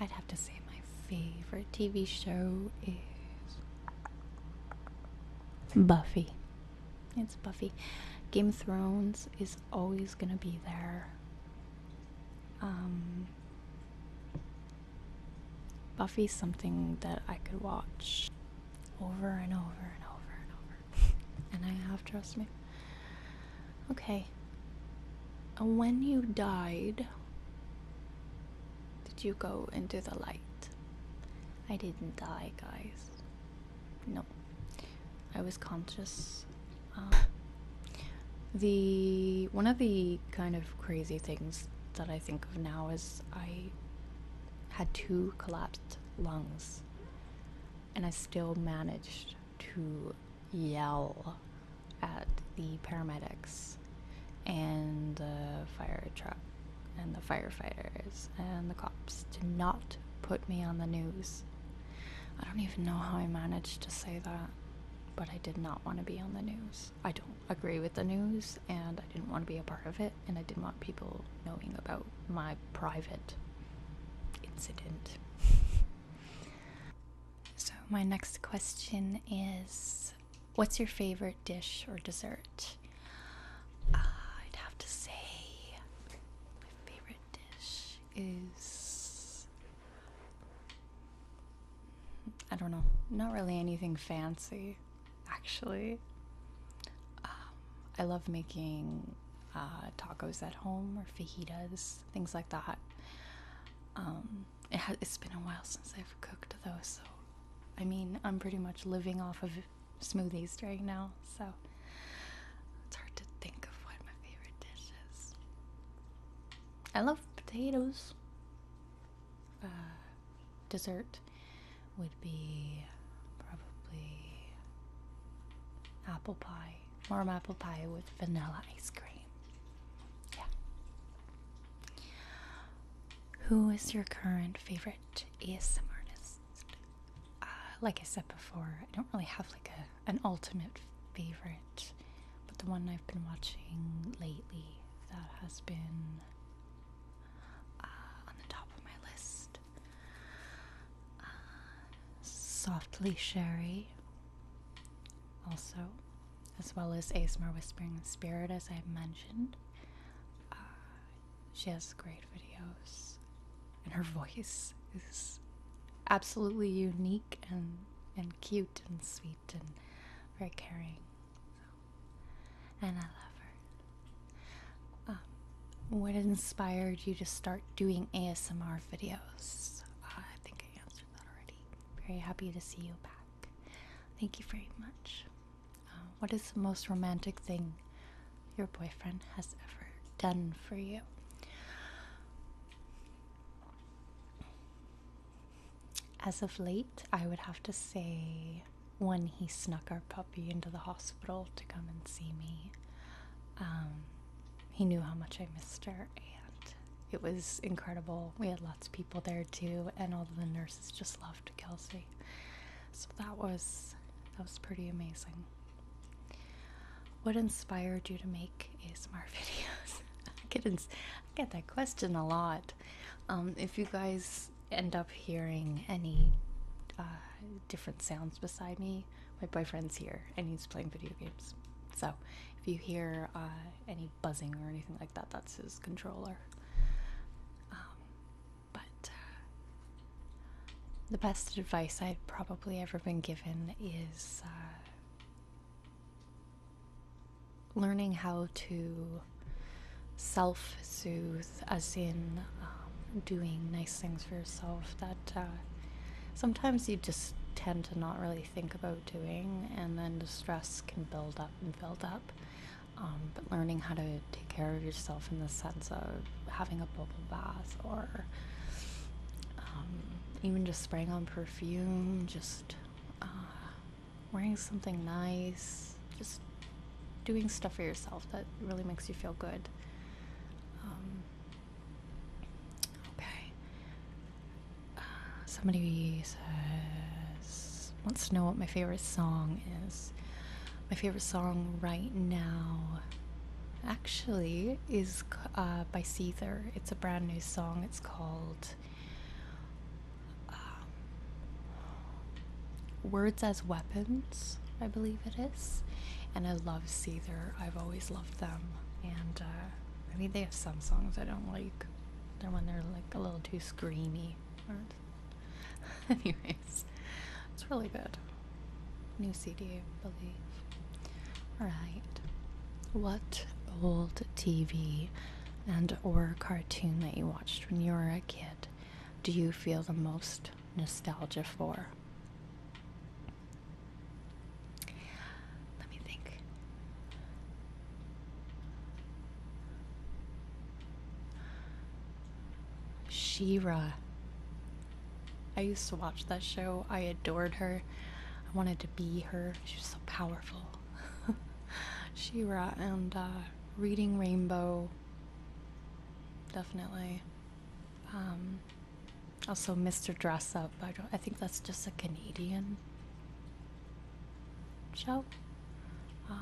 I'd have to say my favorite TV show is Buffy. It's Buffy. Game of Thrones is always gonna be there. Um, Buffy's something that I could watch over and over and over and over. and I have, trust me. Okay. When you died, did you go into the light? I didn't die, guys. No. I was conscious. Um, the one of the kind of crazy things that I think of now is I had two collapsed lungs, and I still managed to yell at the paramedics and the fire truck and the firefighters and the cops to not put me on the news. I don't even know how I managed to say that, but I did not want to be on the news. I don't agree with the news and I didn't want to be a part of it and I didn't want people knowing about my private incident. so, my next question is What's your favorite dish or dessert? Uh, I'd have to say my favorite dish is. I don't know, not really anything fancy actually. Um, I love making uh, tacos at home or fajitas, things like that. Um, it has been a while since I've cooked though, so I mean, I'm pretty much living off of smoothies right now, so it's hard to think of what my favorite dish is. I love potatoes. Uh, dessert would be probably apple pie, warm apple pie with vanilla ice cream. Yeah. Who is your current favorite ASMR artist? Uh, like I said before, I don't really have like a an ultimate favorite, but the one I've been watching lately that has been uh, on the top of my list. Uh, softly Sherry, also, as well as ASMR Whispering Spirit, as I've mentioned. Uh, she has great videos, and her voice is absolutely unique and and cute and sweet and very caring and I love her. Um, what inspired you to start doing ASMR videos? I think I answered that already. Very happy to see you back. Thank you very much. Uh, what is the most romantic thing your boyfriend has ever done for you? as of late, I would have to say when he snuck our puppy into the hospital to come and see me. Um, he knew how much I missed her, and it was incredible. We had lots of people there too, and all the nurses just loved Kelsey. So that was that was pretty amazing. What inspired you to make ASMR videos? I get that question a lot. Um, if you guys end up hearing any uh, different sounds beside me, my boyfriend's here and he's playing video games. So if you hear uh, any buzzing or anything like that, that's his controller. Um, but uh, the best advice I've probably ever been given is learning how to self soothe, as in um, doing nice things for yourself that uh, sometimes you just tend to not really think about doing, and then the stress can build up and build up. Um, but learning how to take care of yourself in the sense of having a bubble bath or um, even just spraying on perfume, just uh, wearing something nice, just doing stuff for yourself that really makes you feel good. Um, okay. Uh, somebody says, wants to know what my favorite song is. My favorite song right now actually is uh, by Seether. It's a brand new song. It's called um, words as Weapons, I believe it is. And I love Seether. I've always loved them. And uh, I mean, they have some songs I don't like. They're when they're like a little too screamy. Anyways, it's really good. New CD, I believe. Alright. What old TV and or cartoon that you watched when you were a kid do you feel the most nostalgia for? Let me think. Shira. I used to watch that show. I adored her. I wanted to be her. She was so powerful. Shira and uh, Reading Rainbow, definitely. Um, also, Mr. Dress Up. I, think that's just a Canadian show. Uh,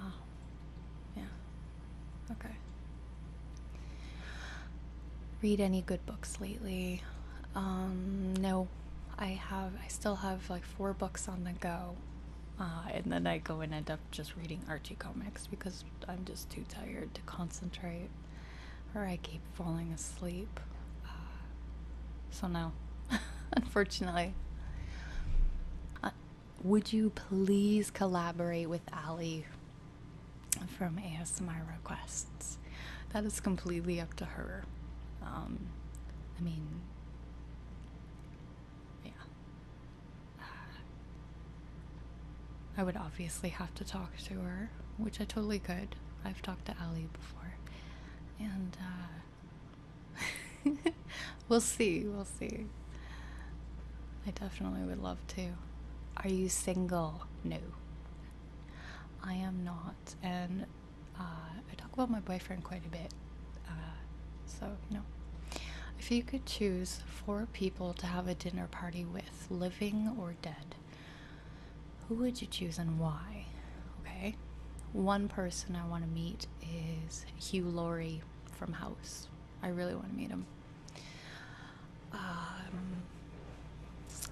yeah. Okay. Read any good books lately? Um, no. I have, I still have like four books on the go. Uh, and then I go and end up just reading Archie comics because I'm just too tired to concentrate, or I keep falling asleep. Uh, so, now, unfortunately. Uh, would you please collaborate with Ali from ASMR Requests? That is completely up to her. Um, I mean, yeah. Uh, I would obviously have to talk to her, which I totally could. I've talked to Ali before. And uh, we'll see, we'll see. I definitely would love to. Are you single? No. I am not. And I talk about my boyfriend quite a bit. Uh, so, you know. If you could choose four people to have a dinner party with, living or dead, who would you choose and why? Okay. One person I want to meet is Hugh Laurie from House. I really want to meet him. Um, let's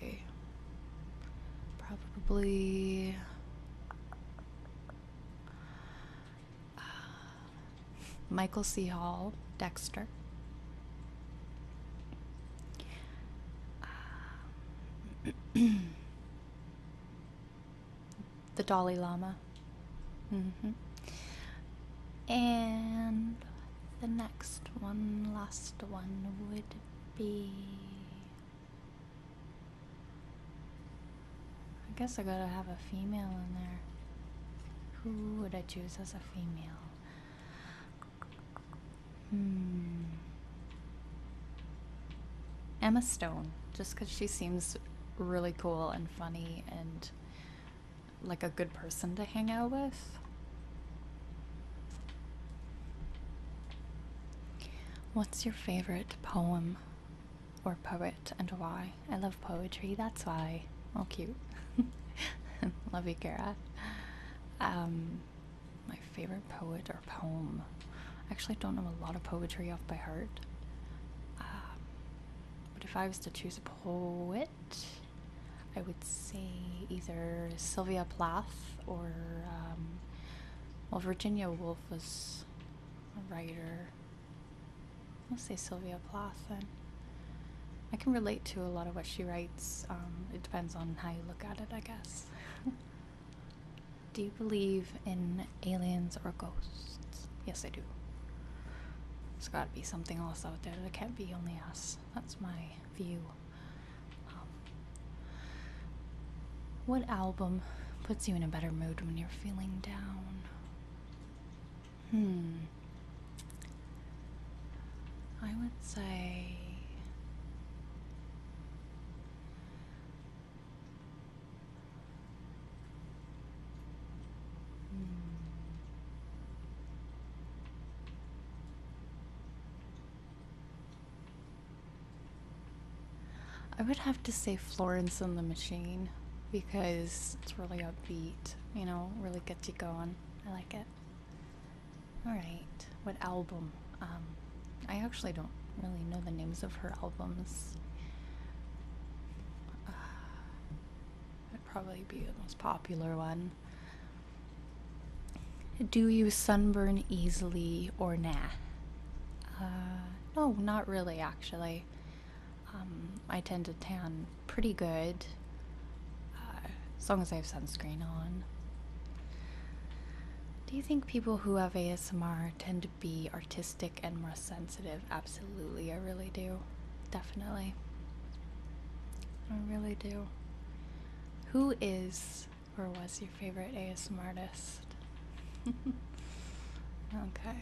see. Probably uh, Michael C. Hall, Dexter. Uh, the Dalai Lama. Mm-hmm. And the next one, last one would be. I guess I gotta have a female in there. Who would I choose as a female? Hmm. Emma Stone, just because she seems really cool and funny and like a good person to hang out with. What's your favorite poem? or poet and why. I love poetry, that's why. Oh, cute. love you, Kara. Um, my favorite poet or poem. I actually don't know a lot of poetry off by heart. Um, but if I was to choose a poet, I would say either Sylvia Plath or, um, well, Virginia Woolf was a writer. I'll say Sylvia Plath then. I can relate to a lot of what she writes. Um, it depends on how you look at it, I guess. do you believe in aliens or ghosts? Yes, I do. There's gotta be something else out there. There can't be only us. That's my view. Um, what album puts you in a better mood when you're feeling down? Hmm. I would say. I would have to say Florence and the Machine because it's really upbeat, you know, really gets you going. I like it. Alright, what album? Um, I actually don't really know the names of her albums. Uh, would probably be the most popular one. Do you sunburn easily or nah? Uh, no, not really actually. Um, I tend to tan pretty good uh, as long as I have sunscreen on. Do you think people who have ASMR tend to be artistic and more sensitive? Absolutely, I really do. Definitely. I really do. Who is or was your favorite ASMR artist? okay,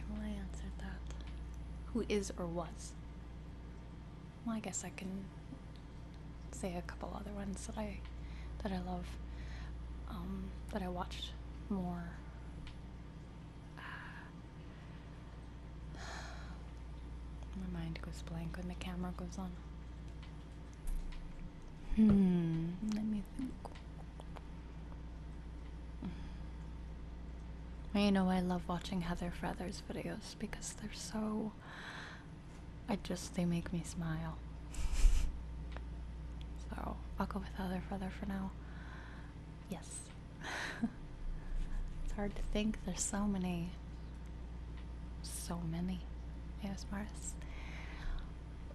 well, I answered that. Who is or was? Well, I guess I can say a couple other ones that I that I love, um, that I watched more. my mind goes blank when the camera goes on. Hmm, let me think. You know, I love watching Heather Feathers videos because they're so. I just, they make me smile. so, I'll go with Heather Feather for now. Yes. it's hard to think, there's so many. So many Yes, ASMRs.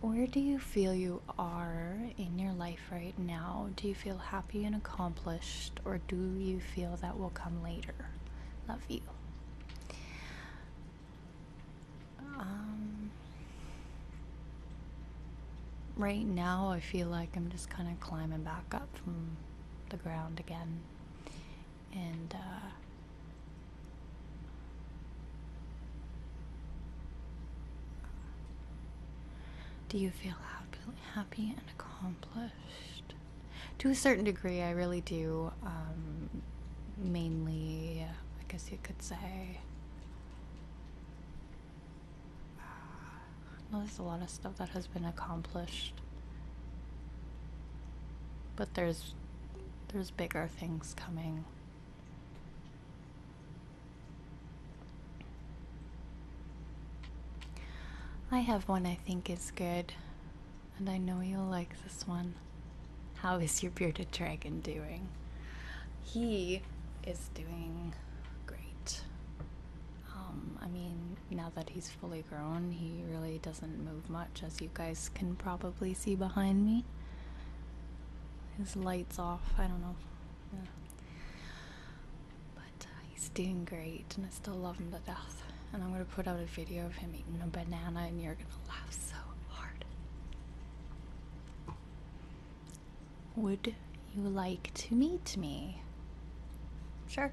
Where do you feel you are in your life right now. Do you feel happy and accomplished, or do you feel that will come later? Love you. Um, right now, I feel like I'm just kind of climbing back up from the ground again. And uh, do you feel happy, happy and accomplished? To a certain degree, I really do. Um, mainly, I guess you could say. Uh, well, there's a lot of stuff that has been accomplished, but there's there's bigger things coming. I have one I think is good, and I know you'll like this one. How is your bearded dragon doing? He is doing great. Um, I mean, now that he's fully grown, he really doesn't move much, as you guys can probably see behind me his lights off. I don't know. Yeah. But uh, he's doing great, and I still love him to death. And I'm gonna put out a video of him eating a banana, and you're gonna laugh so hard. Would you like to meet me? Sure.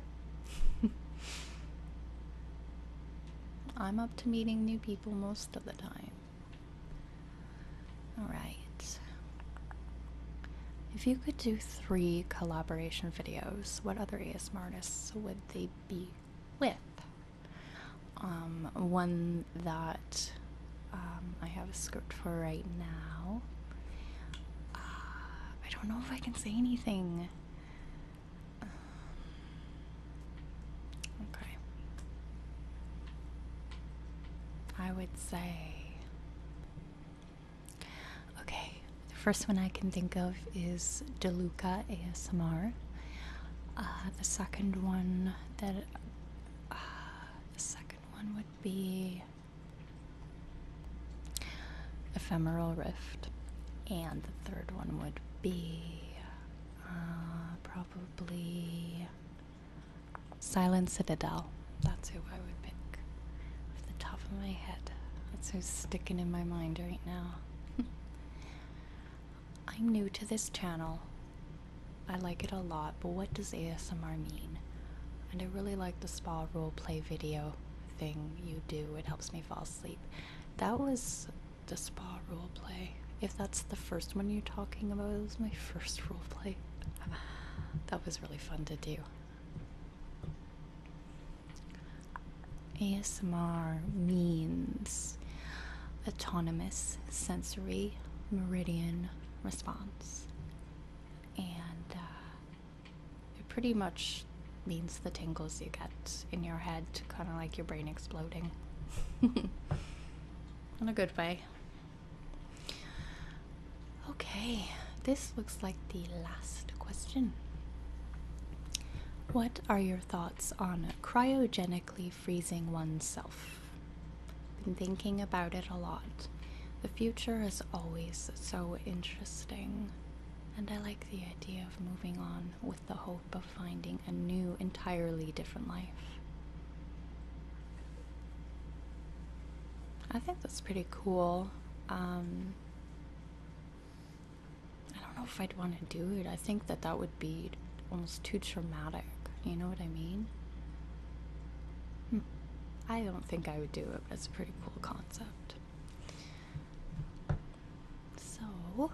I'm up to meeting new people most of the time. Alright. If you could do three collaboration videos, what other ASMR artists would they be with? Um, one that um, I have a script for right now. Uh, I don't know if I can say anything. Um, Okay. I would say. Okay, the first one I can think of is DeLuca ASMR. Uh, the second one that. Uh, the second one would be. Ephemeral Rift. And the third one would be. Uh, probably Silent Citadel. That's who I would pick. Off the top of my head. That's who's sticking in my mind right now. I'm new to this channel. I like it a lot, but what does ASMR mean? And I really like the spa roleplay video thing you do. It helps me fall asleep. That was the spa roleplay if that's the first one you're talking about, it was my first roleplay. That was really fun to do. ASMR means autonomous sensory meridian response, and uh, it pretty much means the tingles you get in your head, kind of like your brain exploding. In a good way. Okay, this looks like the last question. What are your thoughts on cryogenically freezing oneself? Been thinking about it a lot. The future is always so interesting, and I like the idea of moving on with the hope of finding a new, entirely different life. I think that's pretty cool. Um, I don't know if I'd want to do it. I think that that would be almost too traumatic. You know what I mean? Hmm. I don't think I would do it, but it's a pretty cool concept. So,